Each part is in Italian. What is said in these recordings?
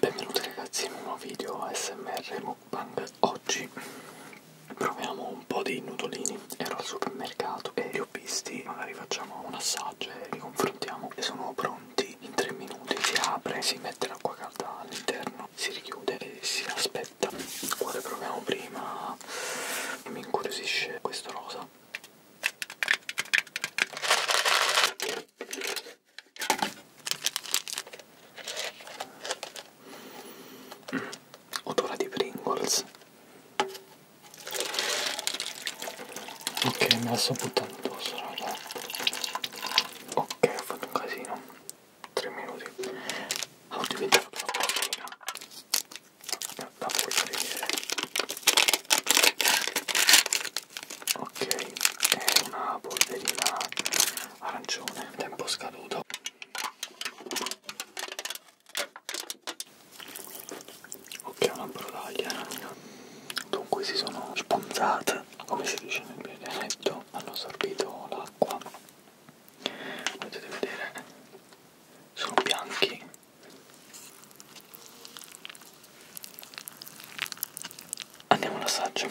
Benvenuti ragazzi in un nuovo video ASMR Mukbang Oggi proviamo un po' di nudolini Ero al supermercato e li ho visti Magari facciamo un assaggio e li confrontiamo E sono pronti in 3 minuti Si apre, si mette l'acqua calda all'interno Si richiude e si aspetta Quale proviamo prima? Mi incuriosisce questo rosa Mm, odora di Pringles. Ok, me la sto buttando addosso, raga. Ok, ho fatto un casino. 3 minuti. Ho diventato troppo la polvere. La polvere ok è una polverina arancione tempo scaduto ok una brodaglia eh. dunque si sono sponzate come si dice nel mio dialetto hanno assorbito l'acqua potete vedere sono bianchi Andiamo all'assaggio.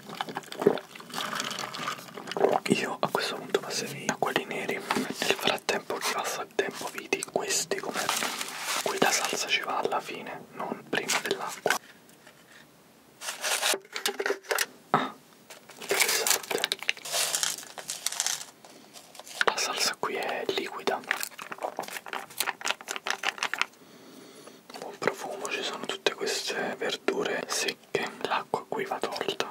Io a questo punto passerei a quelli neri. Nel frattempo che passa il tempo vedi questi come qui la salsa ci va alla fine, non prima dell'acqua. Ah, interessante. La salsa qui è liquida. Buon profumo, ci sono tutte queste verdure secche che l'acqua qui va tolta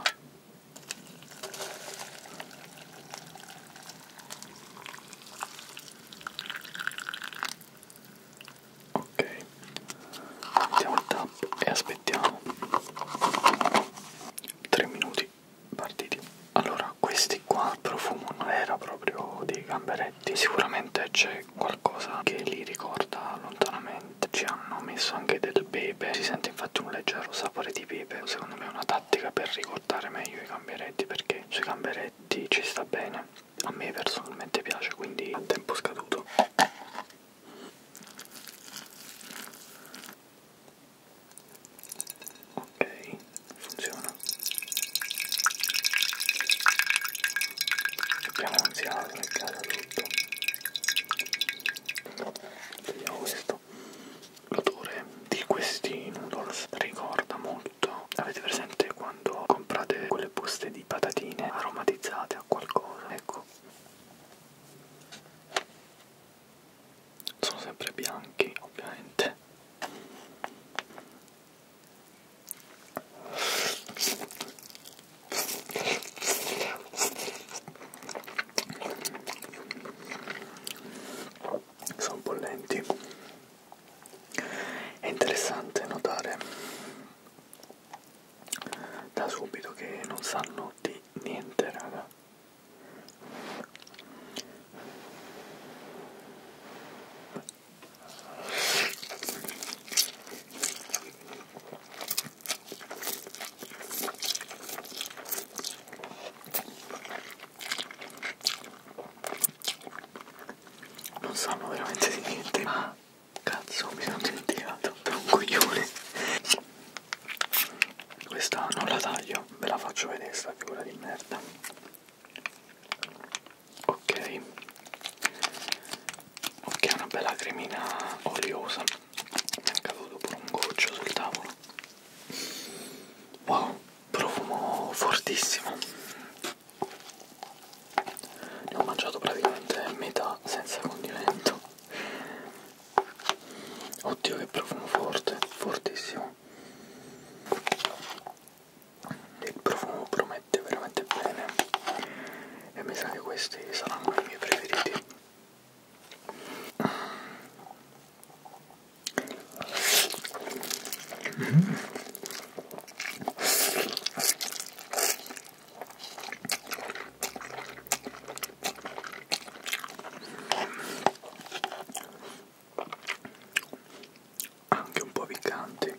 ok mettiamo il tap e aspettiamo 3 minuti partiti allora questi qua il profumo non era proprio dei gamberetti sicuramente c'è qualcosa che li ricorda lontanamente ci hanno messo anche del pepe si sente infatti un leggero sapore di pepe secondo me è una tattica per ricordare meglio i gamberetti perché sui gamberetti ci sta bene a me personalmente piace quindi a tempo scaduto ok funziona abbiamo ansia arrancata tutto vediamo questo l'odore di questi noodles ricorda molto avete presente quando comprate quelle buste di patatine aromatizzate a qualcosa ecco sono sempre bianchi ovviamente sono bollenti è interessante notare da subito che non sanno di niente raga non sanno veramente di niente, ma cazzo mi sono dimenticato per un coglione. Questa non la taglio, ve la faccio vedere sta figura di merda ok ok una bella cremina oliosa mi è caduto pure un goccio sul tavolo wow profumo fortissimo ne ho mangiato praticamente metà senza condimento oddio che profumo forte fortissimo il profumo promette veramente bene e mi sa che questi saranno i miei preferiti mm. anche un po' piccanti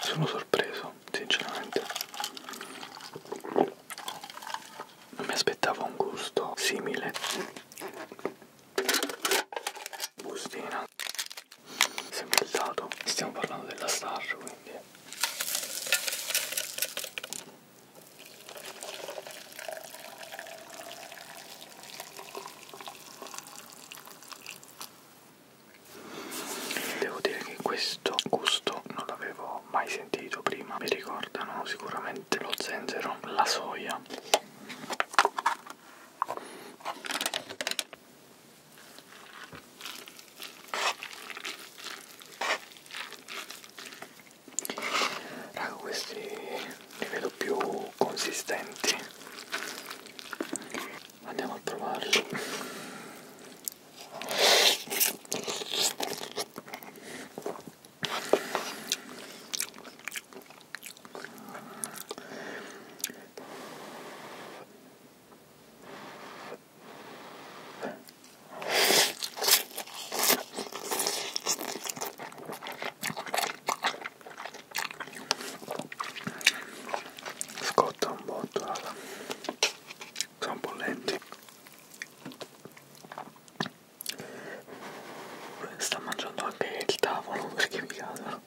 Sono sorpreso, sinceramente. Non mi aspettavo un gusto simile. Bustina. Sempre il dato. Stiamo parlando della star, quindi Devo dire che questo gusto non l'avevo mai sentito prima, mi ricordano sicuramente lo zenzero, la soia raga questi li vedo più consistenti andiamo a provarli scotta un botto raga sono bollenti sta mangiando anche il tavolo perché mi cadono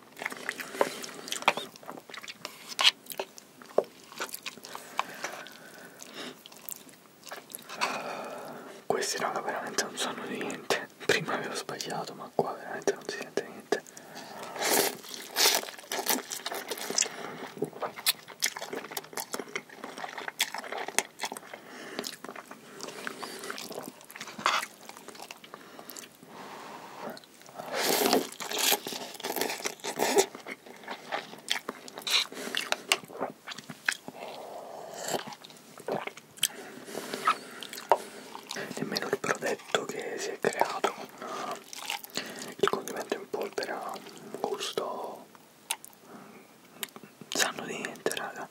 Questi raga veramente non sanno niente. Prima avevo sbagliato, ma qua veramente non si sente niente. Nemmeno il prodetto che si è creato con il condimento in polvere ha un gusto. Non sanno di niente, raga.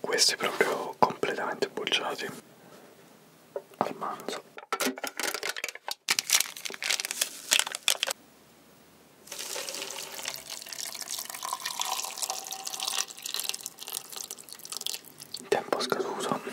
questi proprio completamente bocciati al manzo tempo scaduto mm.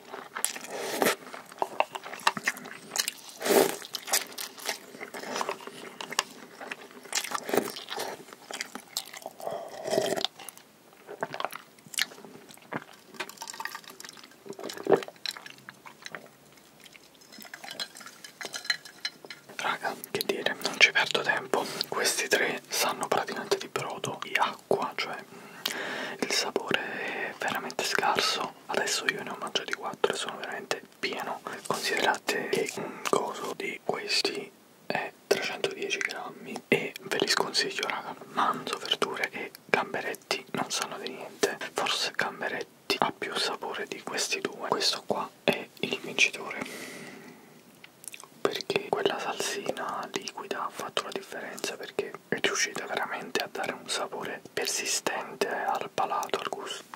Raga, che dire, non ci perdo tempo. Questi tre sanno praticamente di brodo e acqua, cioè mm, il sapore è veramente scarso adesso io ne ho mangiati 4 e sono veramente pieno considerate che un coso di questi è 310 grammi e ve li sconsiglio raga manzo verdure e gamberetti non sanno di niente forse gamberetti ha più sapore di questi due questo qua è il vincitore perché quella salsina liquida ha fatto la differenza differenza perché riuscite veramente a dare un sapore persistente al palato, al gusto.